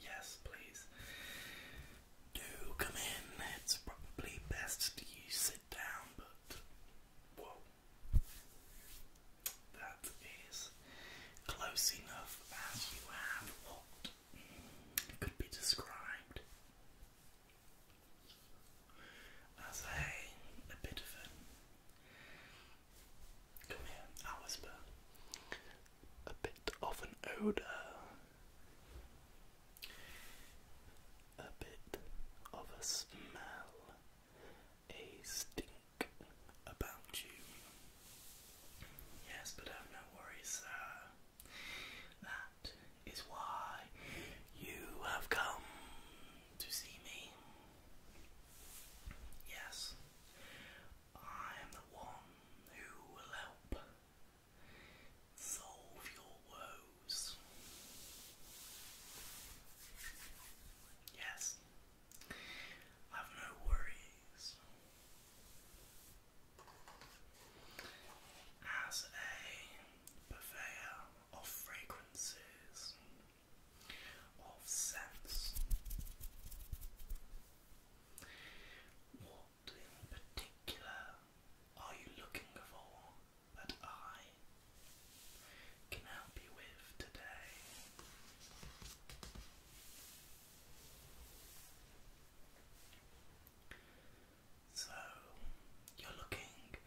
Yes, please. Do come in. It's probably best that you sit down, but whoa. That is close enough as you have what could be described as a, a bit of a. Come here, i A bit of an odour. A bit of a smell. A stink about you. Yes, but I um, have no worries, sir. That is why you have come to see me. Yes, I am the one who will help solve your woes. Yes, have no worries as a purveyor of fragrances, of scents. What in particular are you looking for that I can help you with today? So you're looking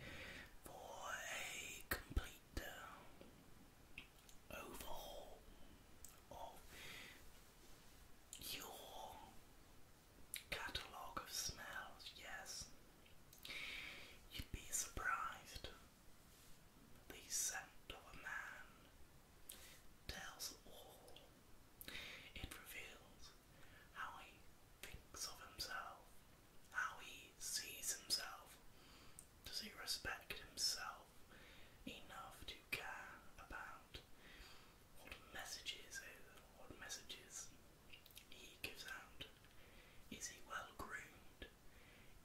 for a complete uh, overhaul of your catalogue of smells, yes. You'd be surprised. The scent of a man tells all it reveals how he thinks of himself, how he sees himself. Does he respect himself enough to care about what messages what messages he gives out? Is he well groomed?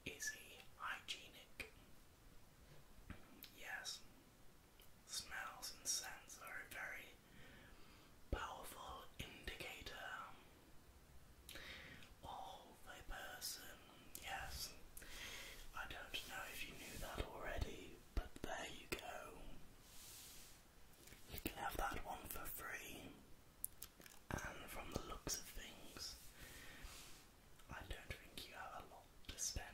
Is he hygienic? Yes, Smells and scents are a very powerful indicator of a person. Yes, I don't know if you knew that already, but there you go. You can have that one for free. And from the looks of things, I don't think you have a available to spend.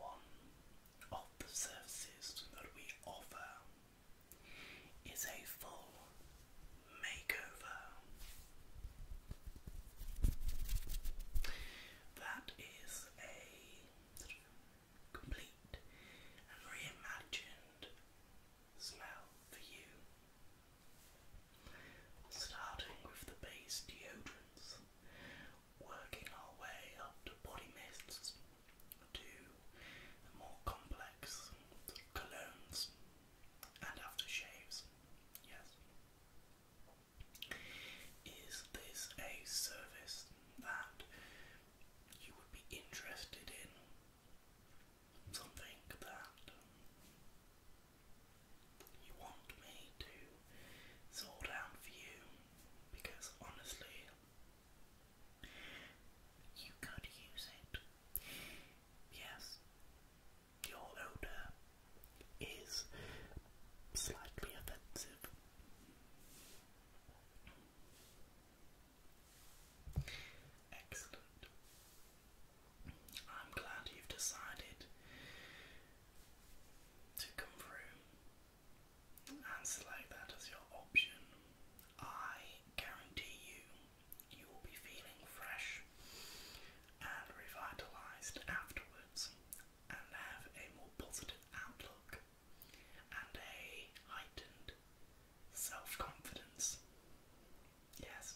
One of the services that we offer is a full makeover. That is a sort of complete and reimagined smell for you. Starting with the base deodorants, working our way up to body mists, to more complex colognes and aftershaves. Yes. Is this a service that you would be interested in? something that um, you want me to sort out for you because honestly, you could use it. Yes, your odor is slightly offensive. Excellent. I'm glad you've decided to come through and select that as your option. I guarantee you, you will be feeling fresh and revitalized afterwards and have a more positive outlook and a heightened self confidence. Yes.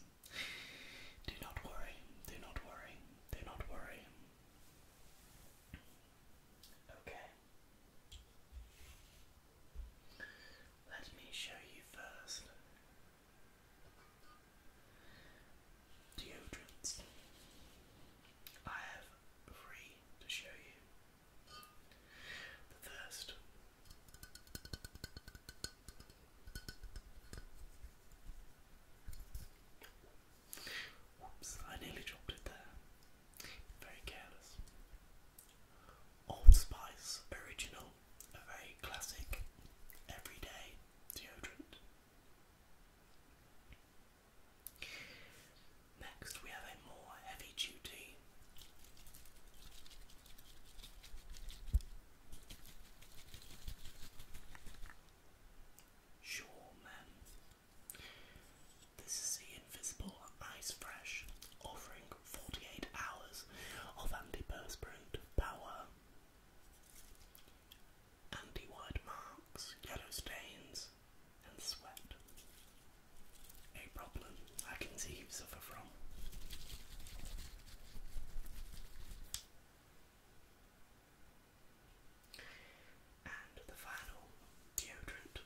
Do not worry. Do not worry. Do not worry. Okay. Let me show you first deodorants. I have three to show you. The first Whoops, I nearly dropped it there. Very careless. Old Spice Original, a very classic, everyday deodorant. Next, we have a more heavy duty Sure, man. This is the Invisible Ice Fresh, offering 48 hours of anti antiperspirant power. Anti-white marks, yellow stains, and sweat. A problem I can see you suffer from. And the final deodorant.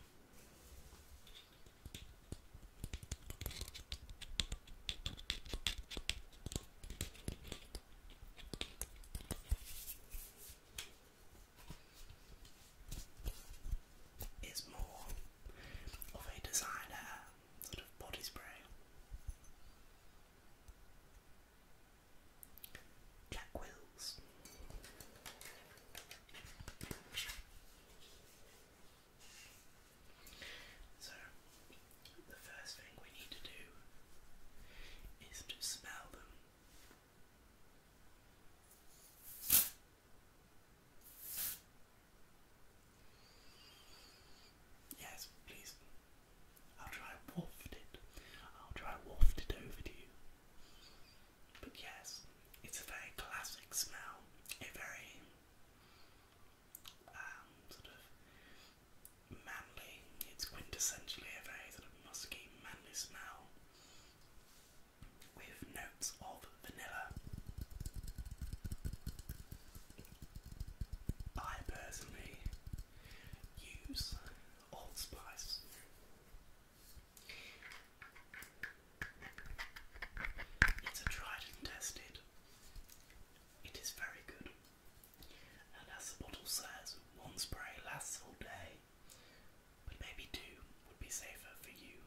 Is more of a designer sort of body spray. Black So, the first thing we need to do is to smell them. Yes, please. I'll try waft it. I'll try waft it over to you. But yes, it's a very classic smell. A very um, sort of manly. It's quintessentially a very sort of musky, manly smell with notes of vanilla. I personally use Old Spice. It's tried and tested. It is very good. And as the bottle says, one spray lasts all day, but maybe two would be safer for you.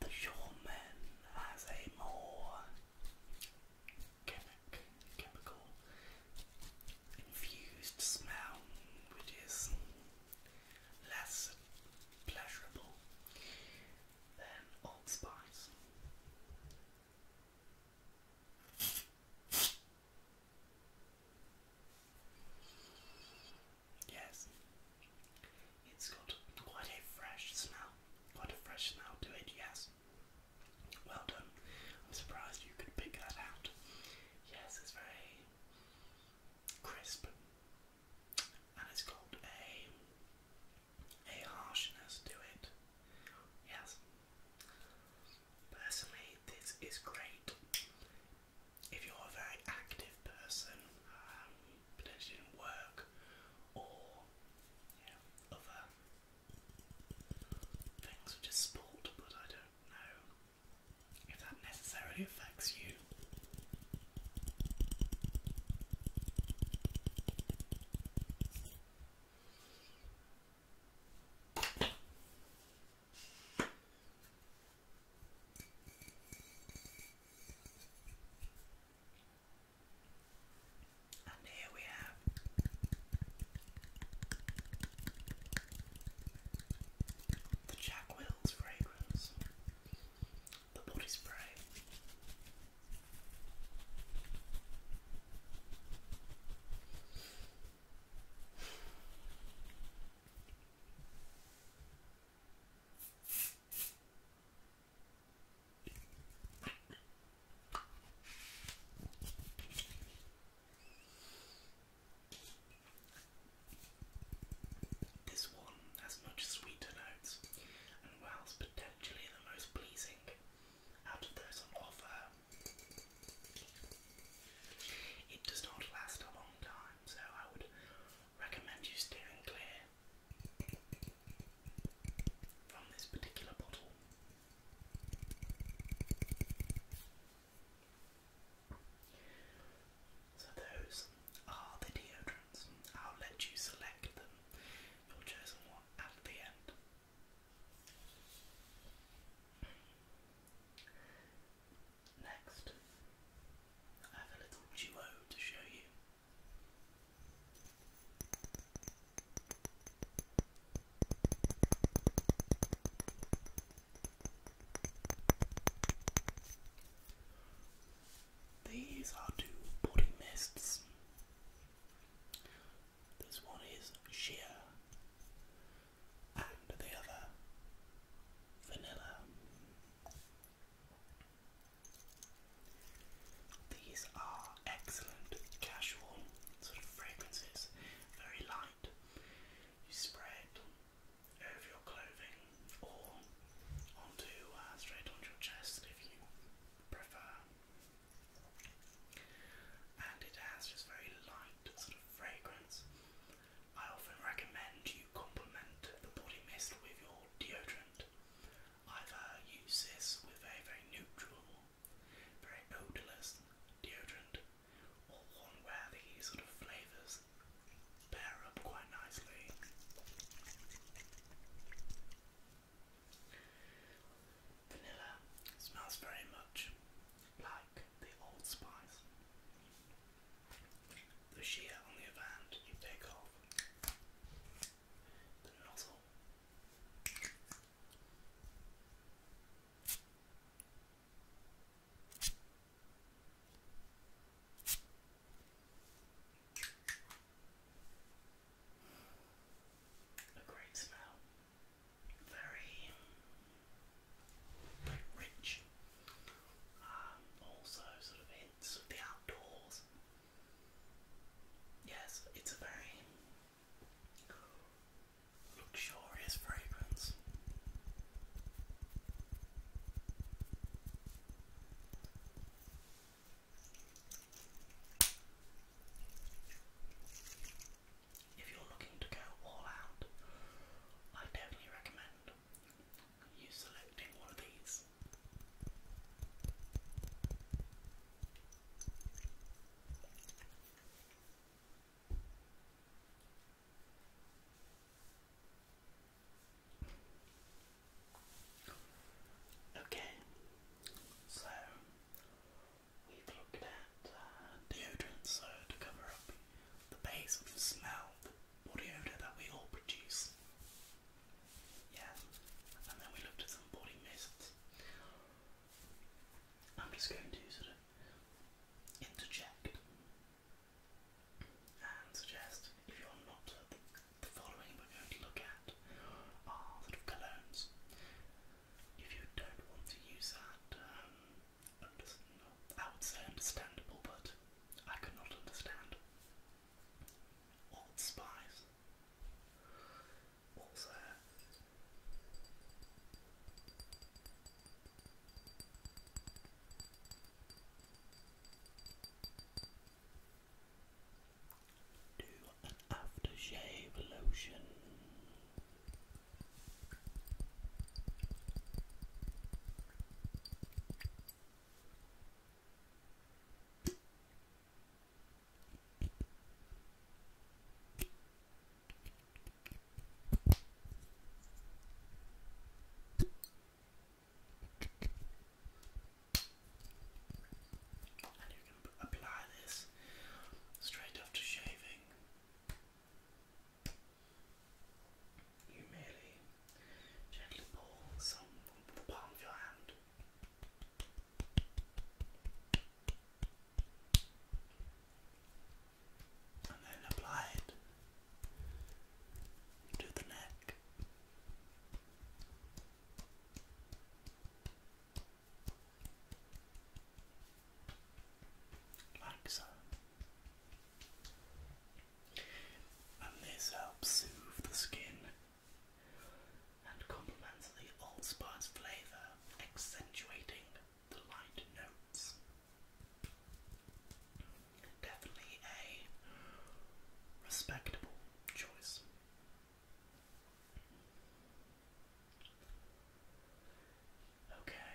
The Shawman has a more chemic, chemical infused smell which is less pleasurable than Old Spice. Yes, it's got quite a fresh smell, quite a fresh smell to it, yes. Well done, I'm surprised you could pick that out. Yes, it's very crisp and it's got a, a harshness to it, yes. Personally, this is great. If you're a very active person, um, potentially work or other things which is sport, but I don't know if that necessarily affects you. And here we have the Jack Wills fragrance, the body spray. This one has much sweeter notes and whilst potentially the most pleasing out of those on offer it does not last a long time, so I would recommend you steering clear from this particular bottle. So, those are the deodorants. I'll let you select them, your chosen one, at the end. Next, I have a little duo to show you. These are two body mists. This one is sheer and the other vanilla. These are excellent casual sort of fragrances, very light. You spray over your clothing or onto uh, straight onto your chest if you prefer. And it has just very light sort of fragrance. I often recommend you complement the body mist with your deodorant. I've uh, used this with a very neutral, very odorless deodorant, or one where the sort of flavours pair up quite nicely. Vanilla smells very much like the Old Spice. The sheer, on the other hand, you take off the nozzle. A great smell very rich. Um, also, sort of hints the outdoors. Yes, it's a very luxurious fragrance if you're looking to go all out, I definitely recommend you selecting one of these. Okay, so we've looked at and deodorant so to cover up the base of the smell, the body odour that we all produce. Yeah, and then we looked at some body mists. I'm just going to sort of interject and suggest if you're not uh, the, following we going to look at are sort of colognes. If you don't want to use that um, I would say understandable, but I could not understand. Old spies. Also, do an aftershave lotion. And you can apply this straight after shaving. You merely gently pull some from the palm of your hand. And then apply it to the neck like And this helps soothe the skin and complements the old spice flavour, accentuating the light notes. Definitely a respectable choice. Okay.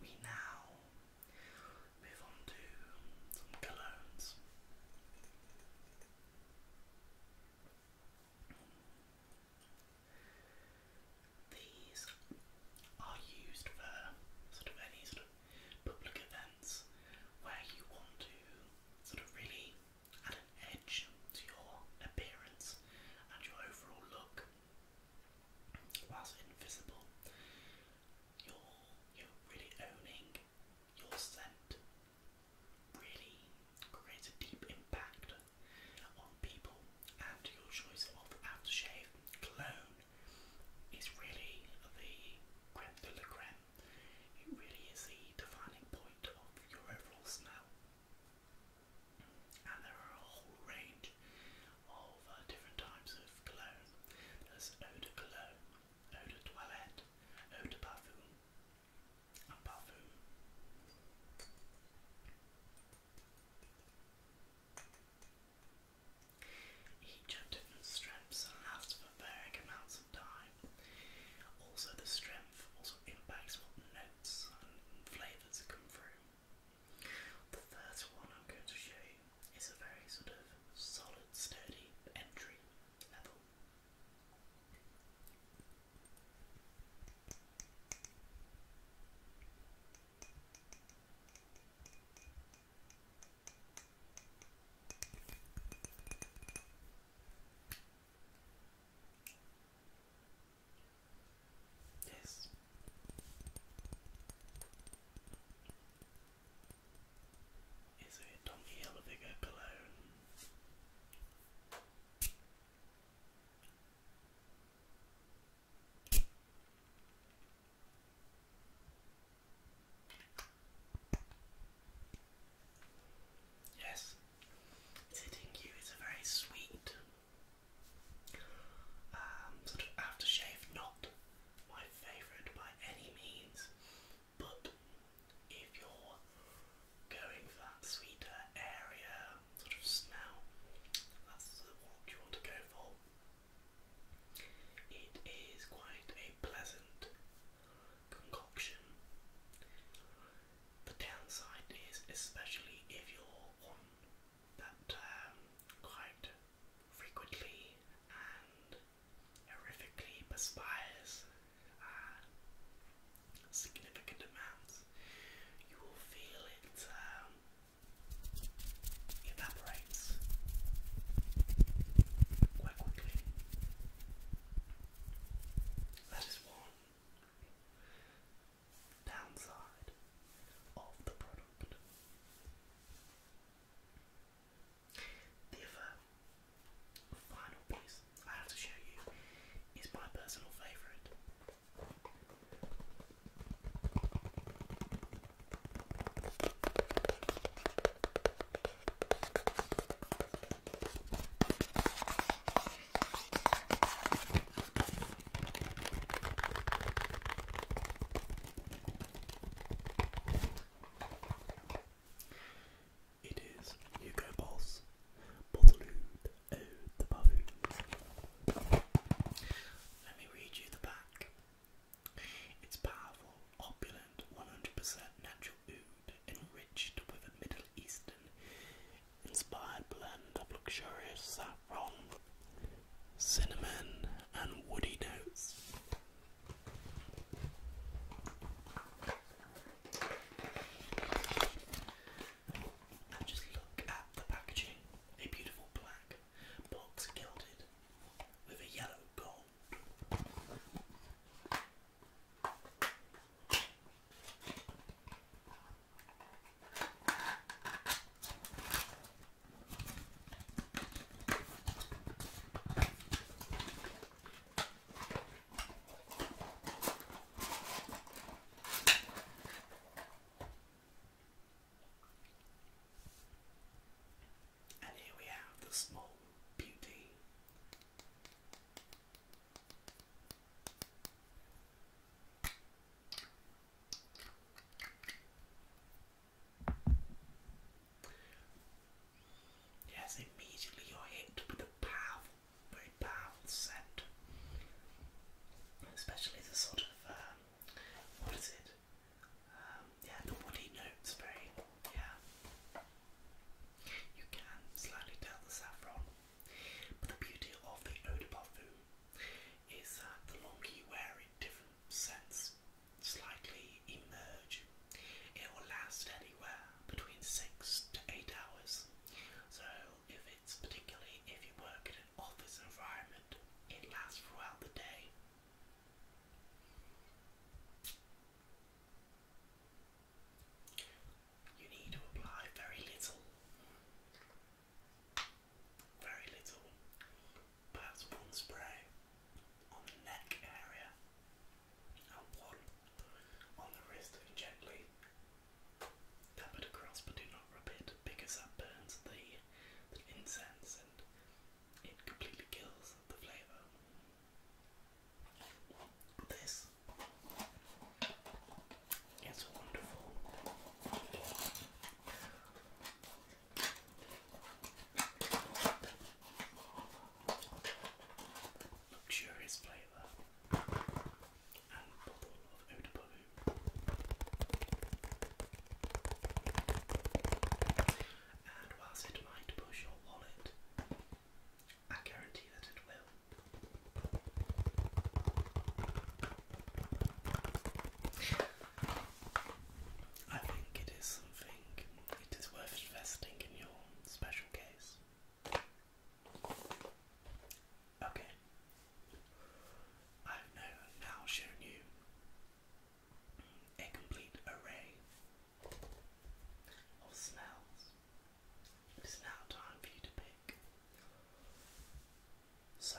We now move on to some colognes. These are used for sort of any sort of public events where you want to sort of really add an edge to your appearance and your overall look. Whilst invisible, you're you're really owning your scent. Really creates a deep impact on people, and your choice of aftershave clone is really the creme de la creme. It really is the defining point of your overall smell. And there are a whole range of uh, different types of cologne. There's eau de cologne, eau de toilette, eau de parfum, and parfum. Each have different strengths and lasts for varying amounts of time. Also, the strength also impacts what notes and flavours come through. The first one I'm going to show you is a very sort of solid, sturdy entry level. Yes. Is it donkey elevator cologne? Yes, it's you. It's a very sweet um, sort of aftershave. Not my favourite by any means, but if you're going for that sweeter area sort of smell, that's the you want to go for. It is quite a pleasant concoction. The downside is, especially if you're on that um, quite frequently and horrifically perspires uh, significant amounts, you will feel it um, evaporates quite quickly. That is one downside of the product. The final piece I have to show you is my personal favourite. It is Hugo Boss, Balloon Ode the Baboon. Let me read you the back. It's powerful, opulent, 100% natural oud, enriched with Middle Eastern inspired blend of luxurious saffron, cinnamon, and woody notes. just look at the packaging a beautiful black box gilded with a yellow gold. And here we have the small beauty Yes, immediately you're hit with a powerful, very powerful scent. Especially the sort of, um, what is it? Um, yeah, the woody notes, very, yeah. You can slightly tell the saffron but the beauty of the eau de parfum is that the longer you wear it, different scents slightly emerge. It will last anywhere between six to eight hours. So if it's particularly if you work in an office environment, it lasts throughout the day. You need to apply very little, very little, perhaps one spray on the neck area and one on the wrist and gently tap it across but do not rub it because that burns the, the incense and it completely kills the flavour. This is wonderful. Luxurious flavour and bubble of Oda Baloo. And whilst it might push your wallet, I guarantee that it will. I think it is something, it is worth investing in your special case. Okay. I've now shown you a complete array of smells it's now time for you to pick. So.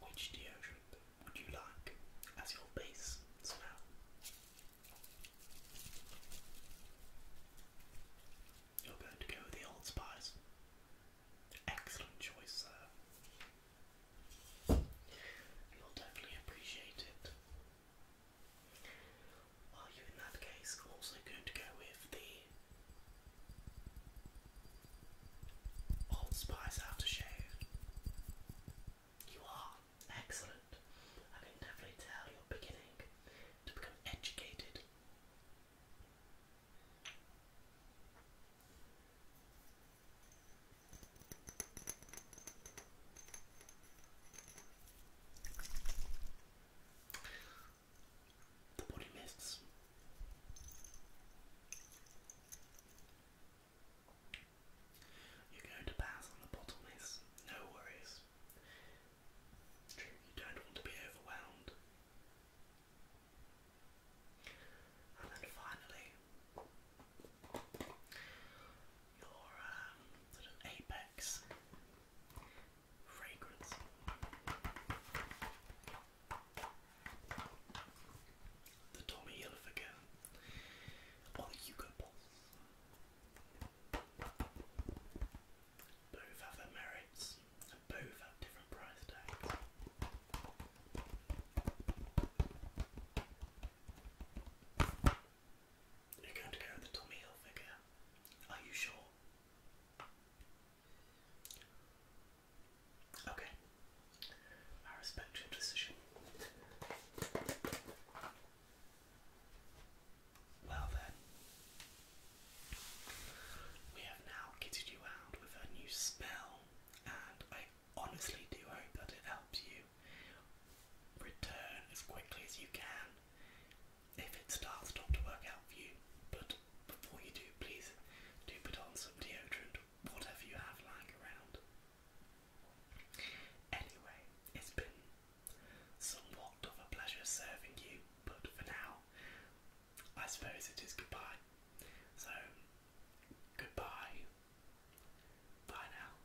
Which deodorant would you like as your base smell? You're going to go with the Old Spice. Excellent choice, sir. You'll totally appreciate it. Are you in that case also going to go with the Old Spice Aftershave? You are excellent. I can definitely tell you're beginning to become educated. The body mists. You're going to pass on the bottle miss, no worries. True, you don't want to be overwhelmed. And then finally, your um, sort of apex fragrance. The Tommy Hilfiger or the Hugo Boss. Both have their merits both have different price tags. You're going to go with the Tommy Hilfiger. Are you sure? Okay. I respect your decision. Well then, we have now kitted you out with a new spell, and honestly do hope that it helps you return as quickly as you can if it starts not to work out for you. But before you do, please do put on some deodorant, whatever you have lying around. Anyway, it's been somewhat of a pleasure serving you, but for now, I suppose it is goodbye. So Goodbye. Bye now.